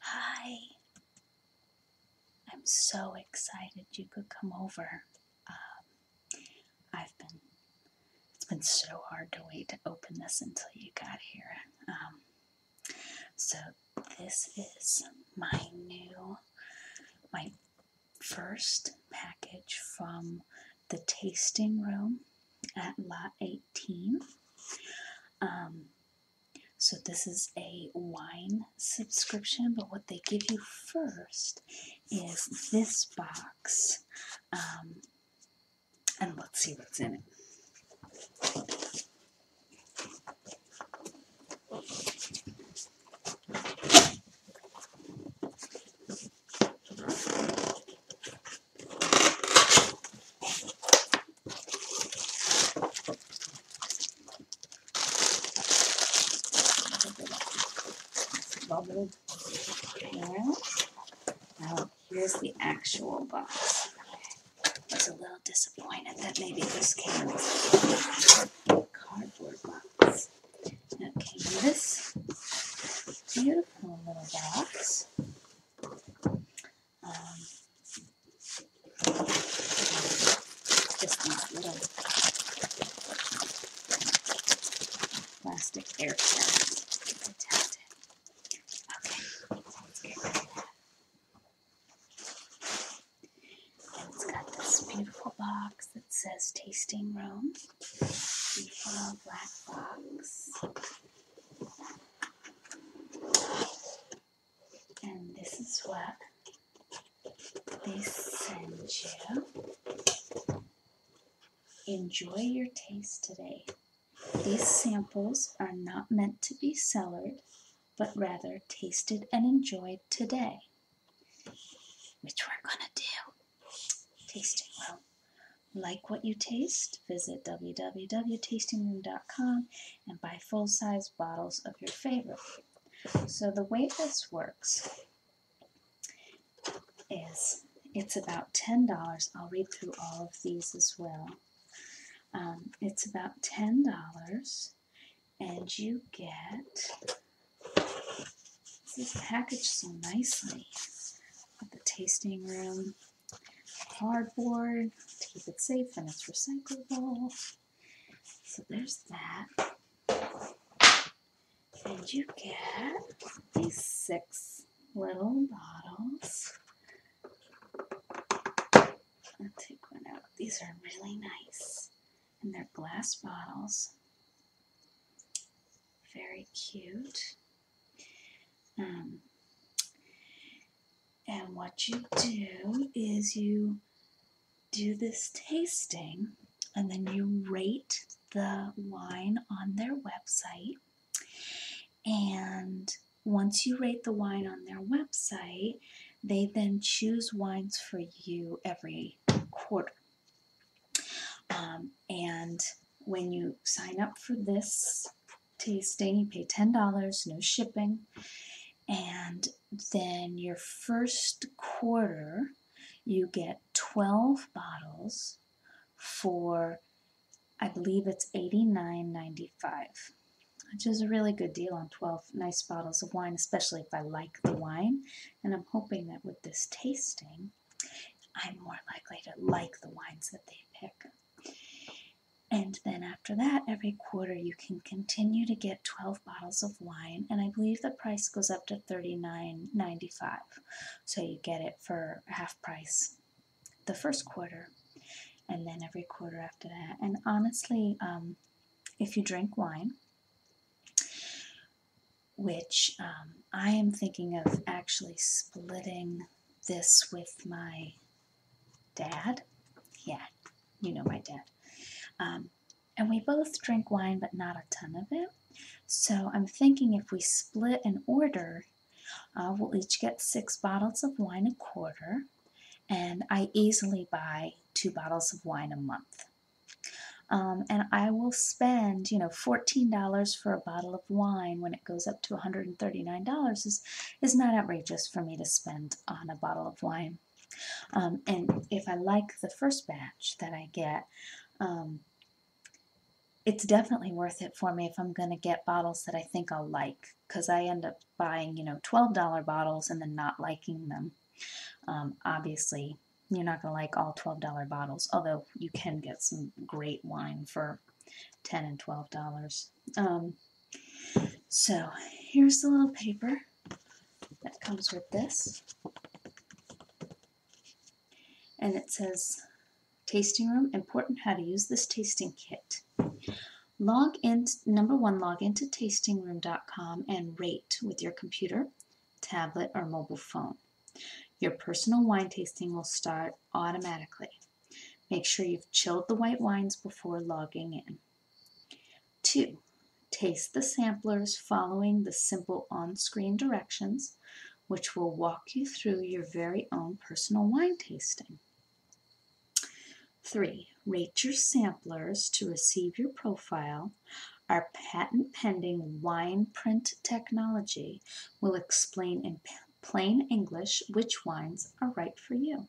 Hi. I'm so excited you could come over. Um, I've been, it's been so hard to wait to open this until you got here. Um, so this is my new, my first package from the tasting room at lot 18. Um, so this is a wine subscription, but what they give you first is this box. Um, and let's see what's in it. Bubble. Now, here's the actual box. I was a little disappointed that maybe this came with a cardboard box. Now, it this beautiful little box. Um, plastic air tags. Okay, And it's got this beautiful box that says tasting room. Beautiful black box and this is what they send you. Enjoy your taste today. These samples are not meant to be cellared, but rather tasted and enjoyed today. Which we're gonna do. Tasting well. Like what you taste? Visit www.tastingroom.com and buy full size bottles of your favorite. So, the way this works is it's about $10. I'll read through all of these as well. Um, it's about $10, and you get this package so nicely. With the tasting room cardboard to keep it safe and it's recyclable. So there's that. And you get these six little bottles. I'll take one out. These are really nice. And they're glass bottles. Very cute. Um, and what you do is you do this tasting and then you rate the wine on their website. And once you rate the wine on their website, they then choose wines for you every quarter. Um, and when you sign up for this tasting, you pay $10, no shipping, and then your first quarter you get 12 bottles for I believe it's $89.95, which is a really good deal on 12 nice bottles of wine, especially if I like the wine. And I'm hoping that with this tasting, I'm more likely to like the wines that they pick. And then after that, every quarter you can continue to get 12 bottles of wine, and I believe the price goes up to $39.95. So you get it for half price the first quarter, and then every quarter after that. And honestly, um, if you drink wine, which um, I am thinking of actually splitting this with my dad. Yeah, you know my dad. Um, and we both drink wine, but not a ton of it. So I'm thinking if we split an order, uh, we'll each get six bottles of wine a quarter, and I easily buy two bottles of wine a month. Um, and I will spend, you know, $14 for a bottle of wine when it goes up to $139 is, is not outrageous for me to spend on a bottle of wine. Um, and if I like the first batch that I get, um, it's definitely worth it for me if I'm going to get bottles that I think I'll like because I end up buying, you know, $12 bottles and then not liking them. Um, obviously, you're not going to like all $12 bottles, although you can get some great wine for 10 and $12. Um, so here's the little paper that comes with this. And it says, Tasting Room, important how to use this tasting kit. Log in, number one, log into tastingroom.com and rate with your computer, tablet, or mobile phone. Your personal wine tasting will start automatically. Make sure you've chilled the white wines before logging in. 2. Taste the samplers following the simple on-screen directions, which will walk you through your very own personal wine tasting. 3. Rate your samplers to receive your profile. Our patent pending wine print technology will explain in plain English which wines are right for you.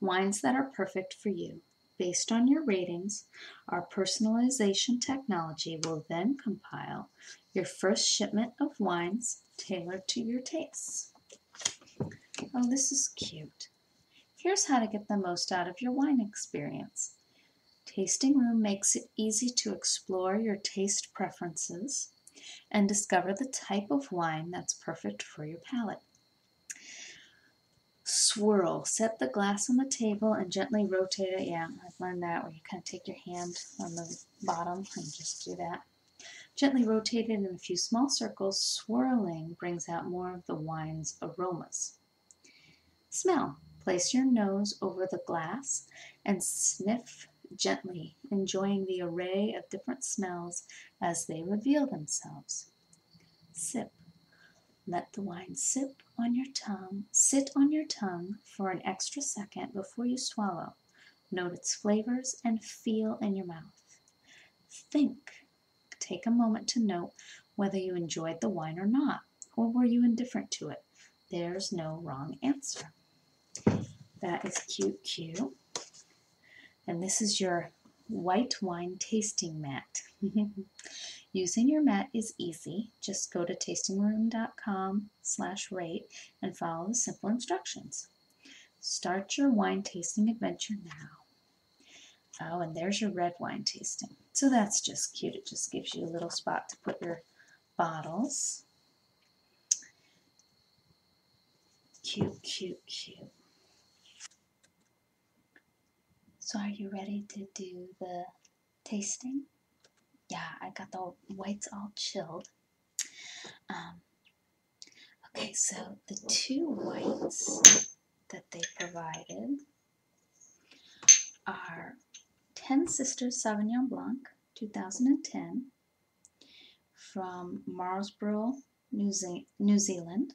Wines that are perfect for you, based on your ratings, our personalization technology will then compile your first shipment of wines tailored to your tastes. Oh, this is cute. Here's how to get the most out of your wine experience. Tasting Room makes it easy to explore your taste preferences and discover the type of wine that's perfect for your palate. Swirl. Set the glass on the table and gently rotate it. Yeah, I've learned that where you kind of take your hand on the bottom and just do that. Gently rotate it in a few small circles. Swirling brings out more of the wine's aromas. Smell. Place your nose over the glass and sniff gently, enjoying the array of different smells as they reveal themselves. Sip. Let the wine sip on your tongue, sit on your tongue for an extra second before you swallow. Note its flavors and feel in your mouth. Think. Take a moment to note whether you enjoyed the wine or not. Or were you indifferent to it? There's no wrong answer. That is cute, cute. And this is your white wine tasting mat. Using your mat is easy. Just go to tastingroom.com slash rate and follow the simple instructions. Start your wine tasting adventure now. Oh, and there's your red wine tasting. So that's just cute. It just gives you a little spot to put your bottles. Cute, cute, cute. So are you ready to do the tasting? Yeah, I got the whites all chilled. Um, okay, so the two whites that they provided are Ten Sisters Sauvignon Blanc 2010 from Marlborough, New, Zealand.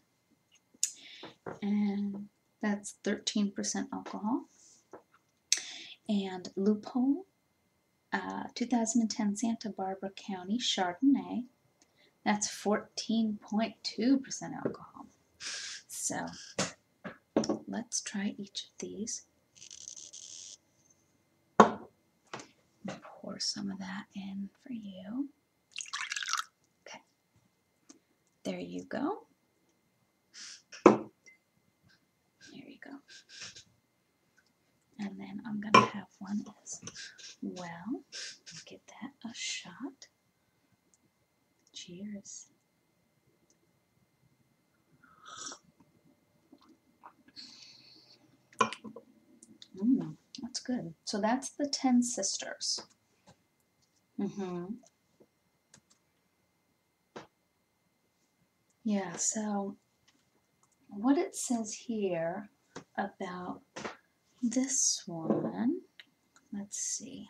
And that's 13% alcohol. And Loophole uh, 2010 Santa Barbara County Chardonnay. That's 14.2% alcohol. So Let's try each of these. Pour some of that in for you. Okay. There you go. There you go. And then I'm going to have one as well. Get that a shot. Cheers. Mm, that's good. So that's the Ten Sisters. Mm-hmm. Yeah, so what it says here about this one, let's see.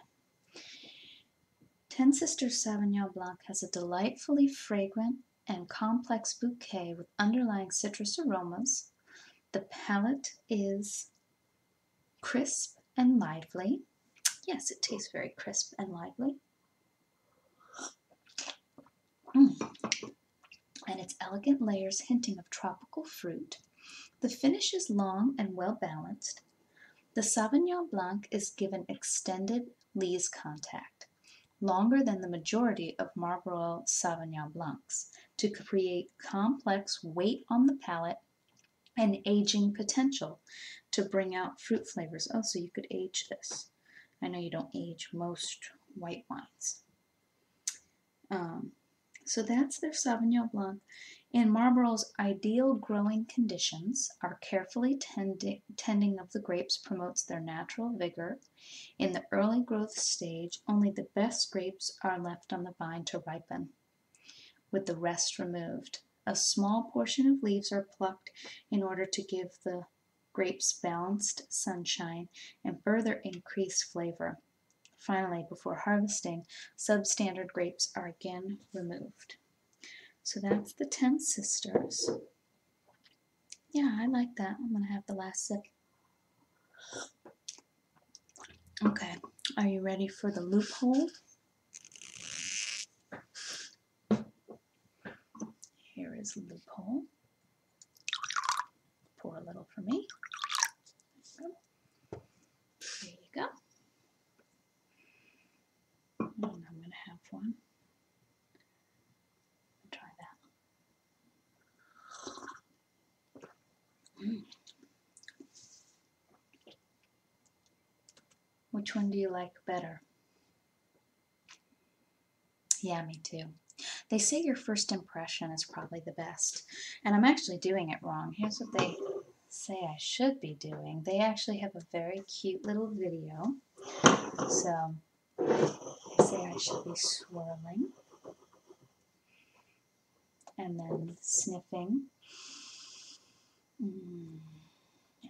Ten Sisters Sauvignon Blanc has a delightfully fragrant and complex bouquet with underlying citrus aromas. The palate is crisp and lively. Yes, it tastes very crisp and lively. Mm. And its elegant layers hinting of tropical fruit. The finish is long and well balanced, the Sauvignon Blanc is given extended lees contact, longer than the majority of Marlborough Sauvignon Blancs, to create complex weight on the palate and aging potential to bring out fruit flavors. Oh, so you could age this. I know you don't age most white wines. Um, so that's their Sauvignon Blanc. In Marlborough's ideal growing conditions, our carefully tending of the grapes promotes their natural vigor. In the early growth stage, only the best grapes are left on the vine to ripen, with the rest removed. A small portion of leaves are plucked in order to give the grapes balanced sunshine and further increase flavor. Finally, before harvesting, substandard grapes are again removed. So that's the Ten Sisters. Yeah, I like that. I'm going to have the last sip. Okay, are you ready for the loophole? Here is loophole. Pour a little for me. There you go. I'm going to have one. try that. Which one do you like better? Yeah, me too. They say your first impression is probably the best. And I'm actually doing it wrong. Here's what they say I should be doing. They actually have a very cute little video. So say I should be swirling and then sniffing mm.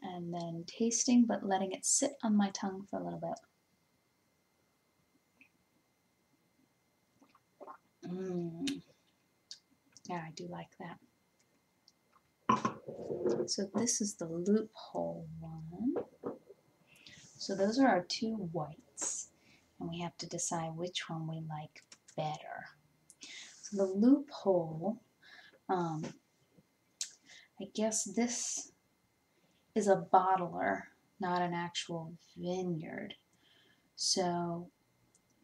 and then tasting but letting it sit on my tongue for a little bit. Mm. Yeah, I do like that. So this is the loophole one. So those are our two whites. And we have to decide which one we like better. So the loophole, um, I guess this is a bottler, not an actual vineyard. So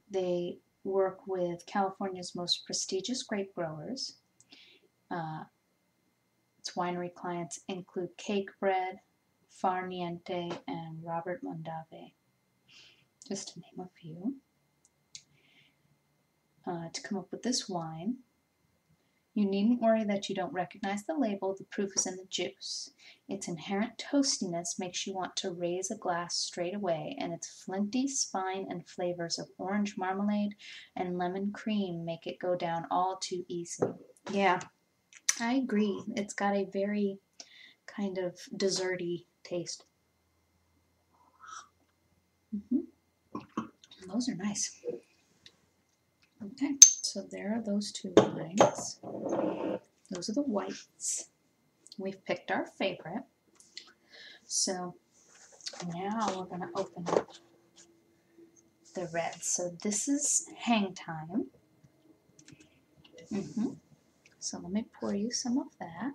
they work with California's most prestigious grape growers. Uh, its winery clients include Cake Bread, Far Niente, and Robert Mondavi, just to name a few. Uh, to come up with this wine, you needn't worry that you don't recognize the label, the proof is in the juice. Its inherent toastiness makes you want to raise a glass straight away, and its flinty spine and flavors of orange marmalade and lemon cream make it go down all too easy. Yeah, I agree. It's got a very kind of desserty taste. Mm-hmm. Those are nice. Okay, so there are those two wines. Those are the whites. We've picked our favorite. So now we're going to open up the red. So this is hang time. Mm-hmm. So let me pour you some of that.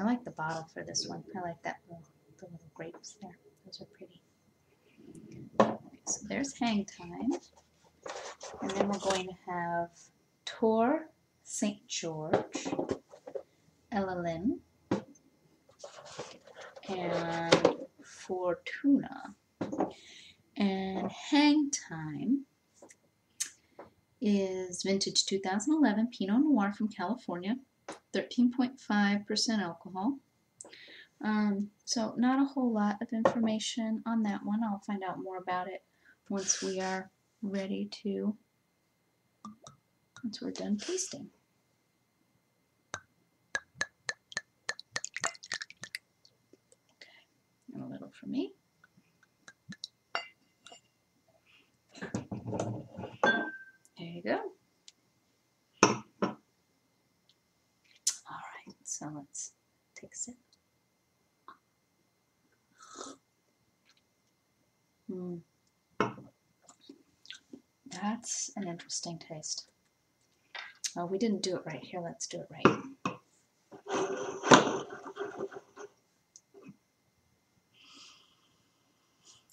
I like the bottle for this one. I like that little grapes there. Those are pretty so there's hang time. And then we're going to have Tor St. George, Ellen, and Fortuna. And hang time is vintage 2011 Pinot Noir from California, 13.5% alcohol. Um, so not a whole lot of information on that one. I'll find out more about it once we are ready to, once we're done pasting. Okay, a little for me. There you go. All right, so let's take a sip. Mm. That's an interesting taste. Oh, we didn't do it right. Here, let's do it right.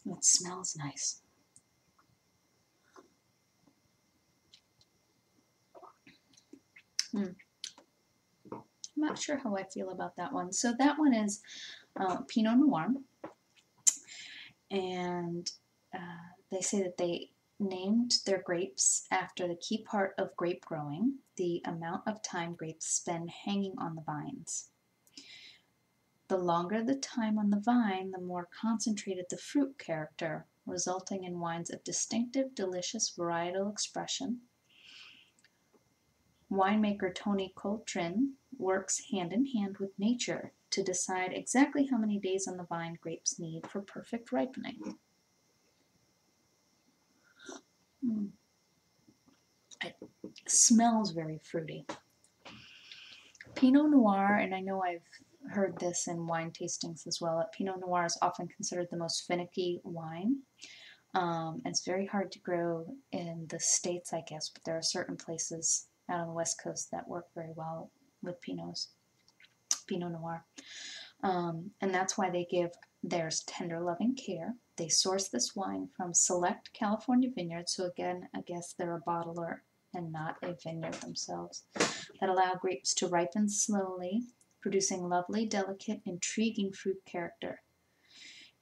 It smells nice. Hmm. I'm not sure how I feel about that one. So that one is uh, Pinot Noir. And uh, they say that they named their grapes after the key part of grape growing, the amount of time grapes spend hanging on the vines. The longer the time on the vine, the more concentrated the fruit character, resulting in wines of distinctive, delicious varietal expression. Winemaker Tony Coltrin works hand in hand with nature to decide exactly how many days on the vine grapes need for perfect ripening. Hmm. It smells very fruity. Pinot Noir, and I know I've heard this in wine tastings as well, Pinot Noir is often considered the most finicky wine. Um, and it's very hard to grow in the States, I guess, but there are certain places out on the West Coast that work very well with Pinots, Pinot Noir. Um, and that's why they give theirs tender loving care. They source this wine from select California vineyards, so again, I guess they're a bottler and not a vineyard themselves, that allow grapes to ripen slowly, producing lovely, delicate, intriguing fruit character.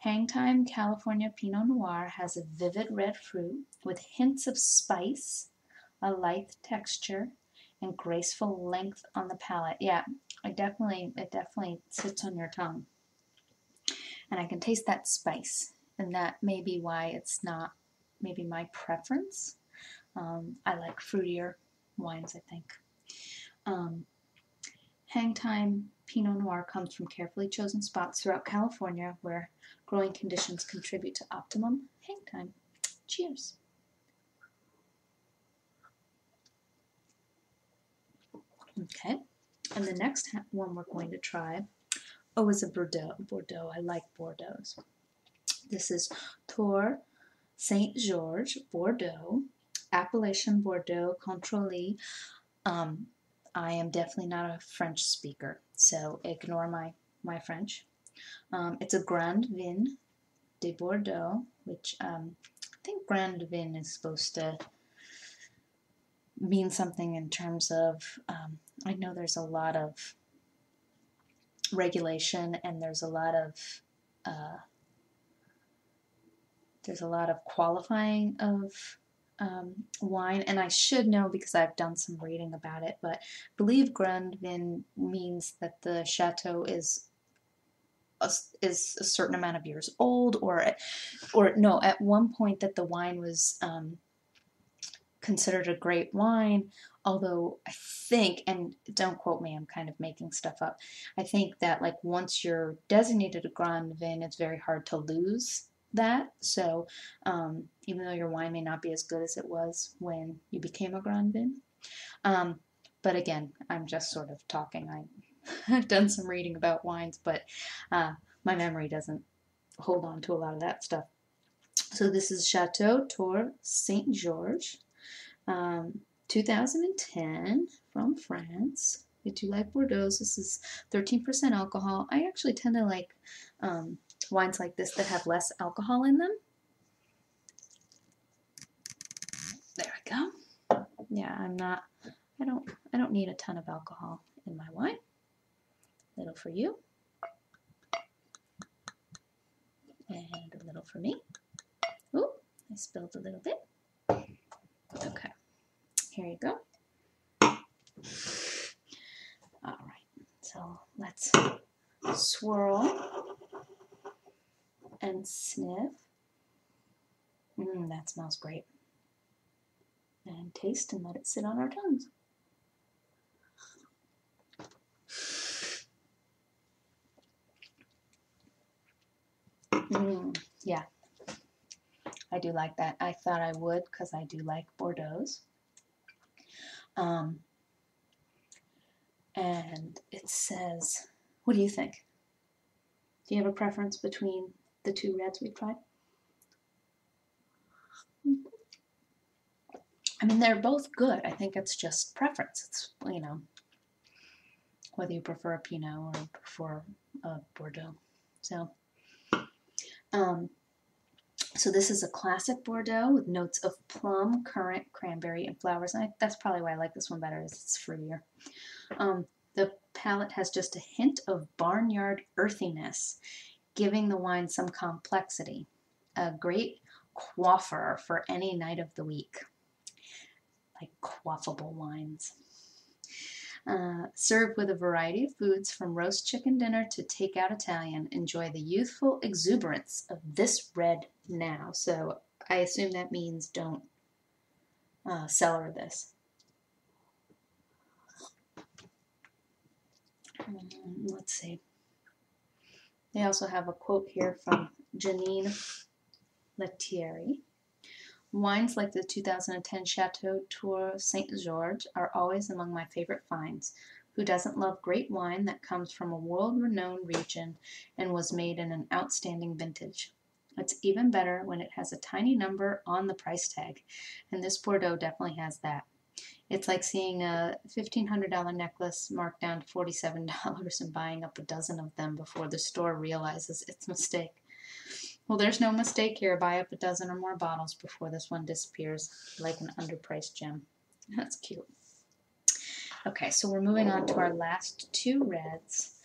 Hangtime California Pinot Noir has a vivid red fruit with hints of spice, a lithe texture, and graceful length on the palate. Yeah, it definitely it definitely sits on your tongue. And I can taste that spice, and that may be why it's not maybe my preference. Um, I like fruitier wines, I think. Um, hang time Pinot Noir comes from carefully chosen spots throughout California where growing conditions contribute to optimum hang time. Cheers. Okay, and the next one we're going to try Oh, it's a Bordeaux. Bordeaux. I like Bordeaux. This is Tour Saint George Bordeaux, Appellation Bordeaux Contrôlé. Um, I am definitely not a French speaker, so ignore my my French. Um, it's a Grand Vin de Bordeaux, which um, I think Grand Vin is supposed to mean something in terms of, um, I know there's a lot of regulation and there's a lot of uh, there's a lot of qualifying of um, wine, and I should know because I've done some reading about it, but I believe Vin means that the chateau is a, is a certain amount of years old, or or no, at one point that the wine was um, considered a great wine, although I think, and don't quote me, I'm kind of making stuff up, I think that like once you're designated a Grand Vin, it's very hard to lose that. So um, even though your wine may not be as good as it was when you became a Grand Vin, um, but again, I'm just sort of talking. I, have done some reading about wines, but uh, my memory doesn't hold on to a lot of that stuff. So this is Chateau Tour Saint George, um, 2010 from France. I do like Bordeaux. This is 13% alcohol. I actually tend to like um, wines like this that have less alcohol in them. There we go. Yeah, I'm not. I don't. I don't need a ton of alcohol in my wine little for you, and a little for me. Ooh, I spilled a little bit. Okay, here you go. All right, so let's swirl and sniff. Mmm, that smells great and taste and let it sit on our tongues. Mm, yeah, I do like that. I thought I would because I do like Bordeaux's. Um, and it says, what do you think? Do you have a preference between the two reds we've tried? I mean, they're both good. I think it's just preference. It's, you know, whether you prefer a Pinot or prefer a Bordeaux. So, um, so this is a classic Bordeaux with notes of plum, currant, cranberry, and flowers. And that's probably why I like this one better is it's fruitier. Um, the palate has just a hint of barnyard earthiness giving the wine some complexity. A great quaffer for any night of the week. Like quaffable wines. Uh, served with a variety of foods from roast chicken dinner to takeout Italian. Enjoy the youthful exuberance of this red now. So I assume that means don't uh, cellar this. Um, let's see. They also have a quote here from Janine Lettieri. Wines like the 2010 Chateau Tour Saint George are always among my favorite finds. Who doesn't love great wine that comes from a world renowned region and was made in an outstanding vintage? It's even better when it has a tiny number on the price tag, and this Bordeaux definitely has that. It's like seeing a $1,500 necklace marked down to $47 and buying up a dozen of them before the store realizes its a mistake. Well, there's no mistake here. Buy up a dozen or more bottles before this one disappears like an underpriced gem. That's cute. Okay, so we're moving on to our last two reds.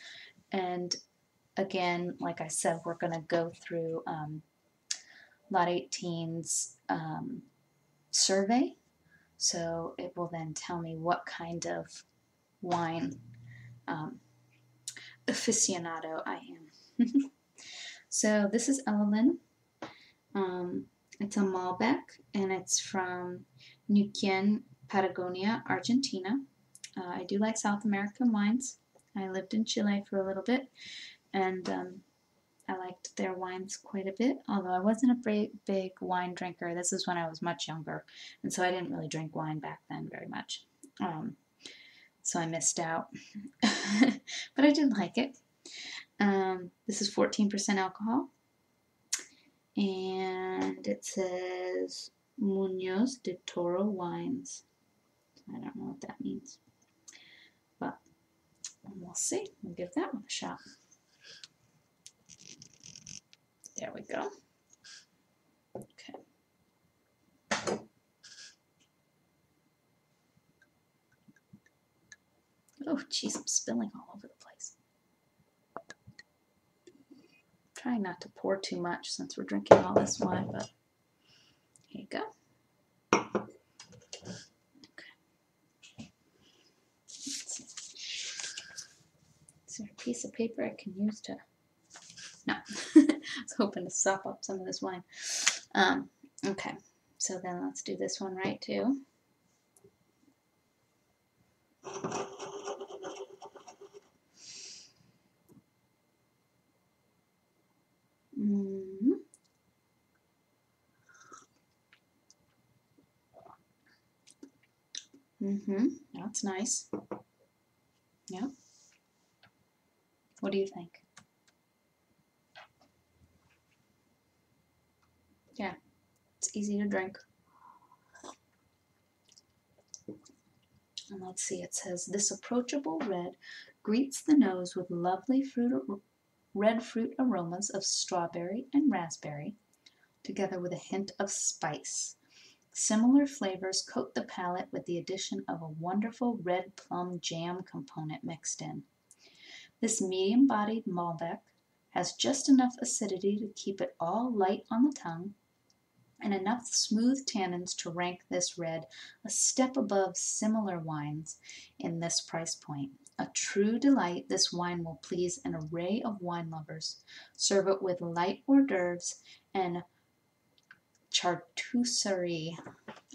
And again, like I said, we're going to go through um, Lot 18's um, survey. So it will then tell me what kind of wine um, aficionado I am. so this is Evelyn. Um, it's a Malbec and it's from Neuquén, Patagonia, Argentina. Uh, I do like South American wines. I lived in Chile for a little bit, and um, I liked their wines quite a bit, although I wasn't a big, big wine drinker. This is when I was much younger, and so I didn't really drink wine back then very much. Um, so I missed out. but I did like it. Um, this is 14% alcohol, and it says Munoz de Toro Wines. I don't know what that means. But we'll see. We'll give that one a shot. There we go. Okay. Oh, geez, I'm spilling all over the place. trying not to pour too much since we're drinking all this wine, but here you go. Okay. Is there a piece of paper I can use to... No. I was hoping to sop up some of this wine. Um, okay. So then let's do this one right too. Mm. Mm-hmm. That's nice. Yeah. What do you think? Yeah, it's easy to drink. And let's see, it says, this approachable red greets the nose with lovely fruit, red fruit aromas of strawberry and raspberry, together with a hint of spice. Similar flavors coat the palate with the addition of a wonderful red plum jam component mixed in. This medium-bodied Malbec has just enough acidity to keep it all light on the tongue and enough smooth tannins to rank this red a step above similar wines in this price point. A true delight, this wine will please an array of wine lovers. Serve it with light hors d'oeuvres and charcuterie.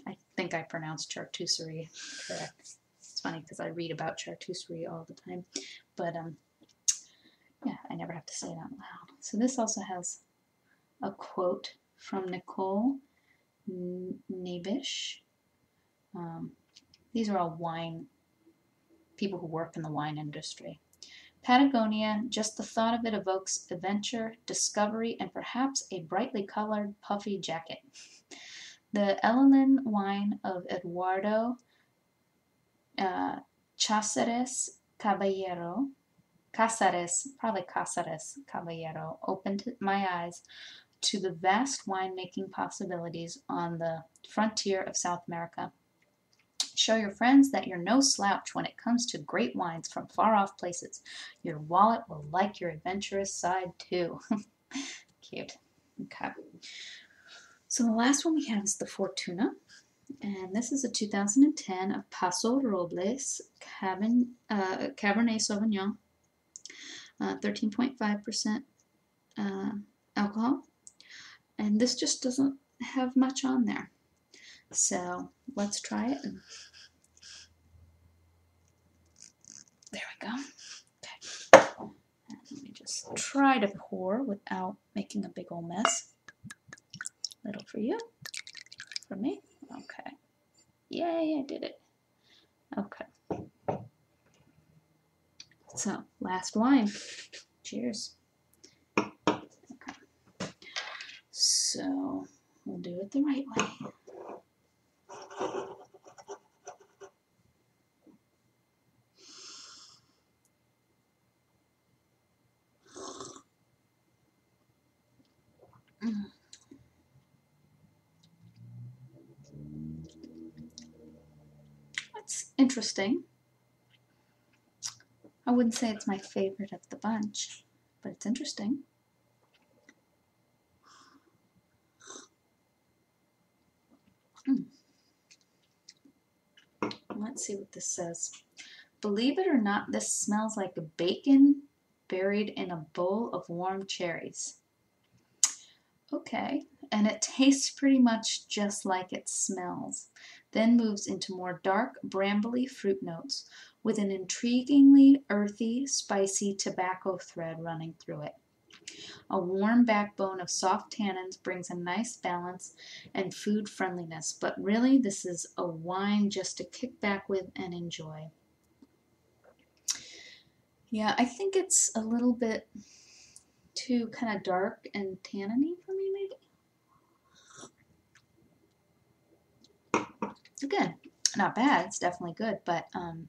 I think I pronounced charcuterie correct. It's funny because I read about charcuterie all the time, but um, yeah, I never have to say it out loud. So this also has a quote from Nicole Nabish. Um, these are all wine people who work in the wine industry. Patagonia, just the thought of it evokes adventure, discovery, and perhaps a brightly colored, puffy jacket. The Elelin wine of Eduardo uh, Cáceres Caballero, Cáceres, probably Cáceres Caballero, opened my eyes to the vast wine-making possibilities on the frontier of South America. Show your friends that you're no slouch when it comes to great wines from far off places. Your wallet will like your adventurous side too. Cute. Okay. So the last one we have is the Fortuna and this is a 2010 of Paso Robles Cabin, uh, Cabernet Sauvignon, 13.5% uh, uh, alcohol. And this just doesn't have much on there. So let's try it. There we go. Let me just try to pour without making a big old mess. Little for you. For me. Okay. Yay, I did it. Okay. So, last wine. Cheers. Okay. So, we'll do it the right way. That's interesting. I wouldn't say it's my favorite of the bunch, but it's interesting. Hmm. Let's see what this says. Believe it or not, this smells like bacon buried in a bowl of warm cherries. Okay, and it tastes pretty much just like it smells, then moves into more dark, brambly fruit notes with an intriguingly earthy, spicy tobacco thread running through it. A warm backbone of soft tannins brings a nice balance and food friendliness, but really this is a wine just to kick back with and enjoy. Yeah, I think it's a little bit too kind of dark and tanniny for me, maybe. good, not bad. It's definitely good, but um,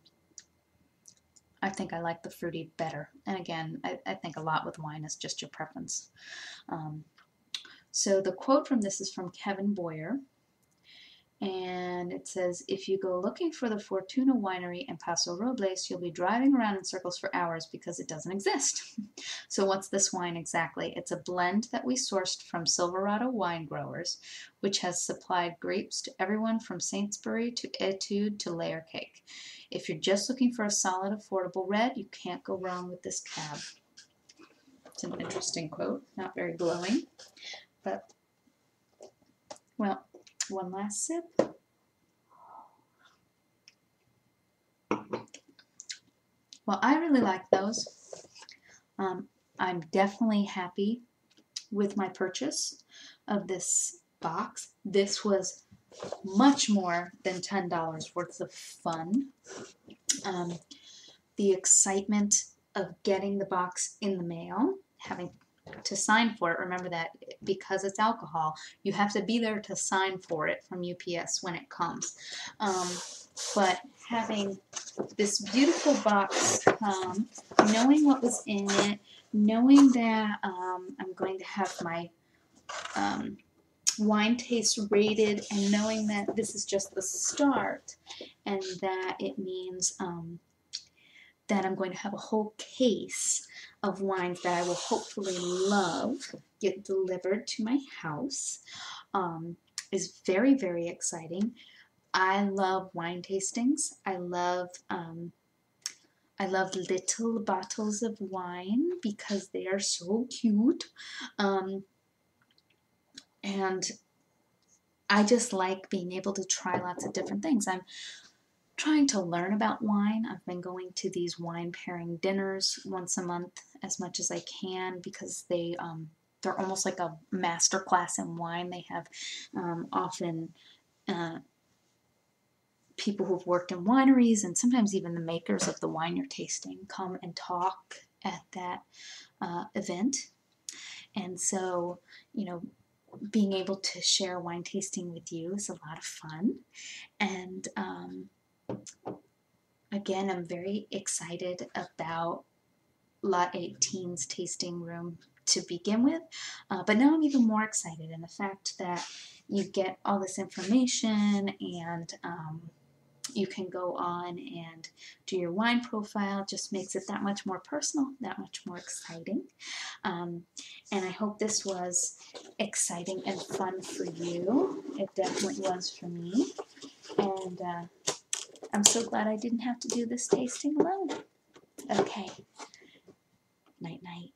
I think I like the fruity better. And again, I, think a lot with wine is just your preference. Um, so the quote from this is from Kevin Boyer. And it says, if you go looking for the Fortuna Winery in Paso Robles, you'll be driving around in circles for hours because it doesn't exist. so what's this wine exactly? It's a blend that we sourced from Silverado wine growers, which has supplied grapes to everyone from Saintsbury to Etude to Layer Cake. If you're just looking for a solid, affordable red, you can't go wrong with this cab. It's an interesting quote, not very glowing, but, well, one last sip. Well, I really like those. Um, I'm definitely happy with my purchase of this box. This was much more than $10 worth of fun. Um, the excitement of getting the box in the mail, having to sign for it. Remember that because it's alcohol, you have to be there to sign for it from UPS when it comes. Um, but having this beautiful box come, knowing what was in it, knowing that um, I'm going to have my wine taste rated and knowing that this is just the start and that it means um, that I'm going to have a whole case of wines that I will hopefully love get delivered to my house um, is very, very exciting. I love wine tastings. I love um, I love little bottles of wine because they are so cute. Um, and I just like being able to try lots of different things. I'm trying to learn about wine. I've been going to these wine pairing dinners once a month as much as I can because they um, they're almost like a master class in wine. They have um, often uh, people who've worked in wineries and sometimes even the makers of the wine you're tasting come and talk at that uh, event. And so, you know, being able to share wine tasting with you is a lot of fun. And um, again, I'm very excited about Lot 18's tasting room to begin with, uh, but now I'm even more excited. in the fact that you get all this information and um, you can go on and do your wine profile. just makes it that much more personal, that much more exciting. Um, and I hope this was exciting and fun for you. It definitely was for me. And uh, I'm so glad I didn't have to do this tasting alone. Okay. Night night.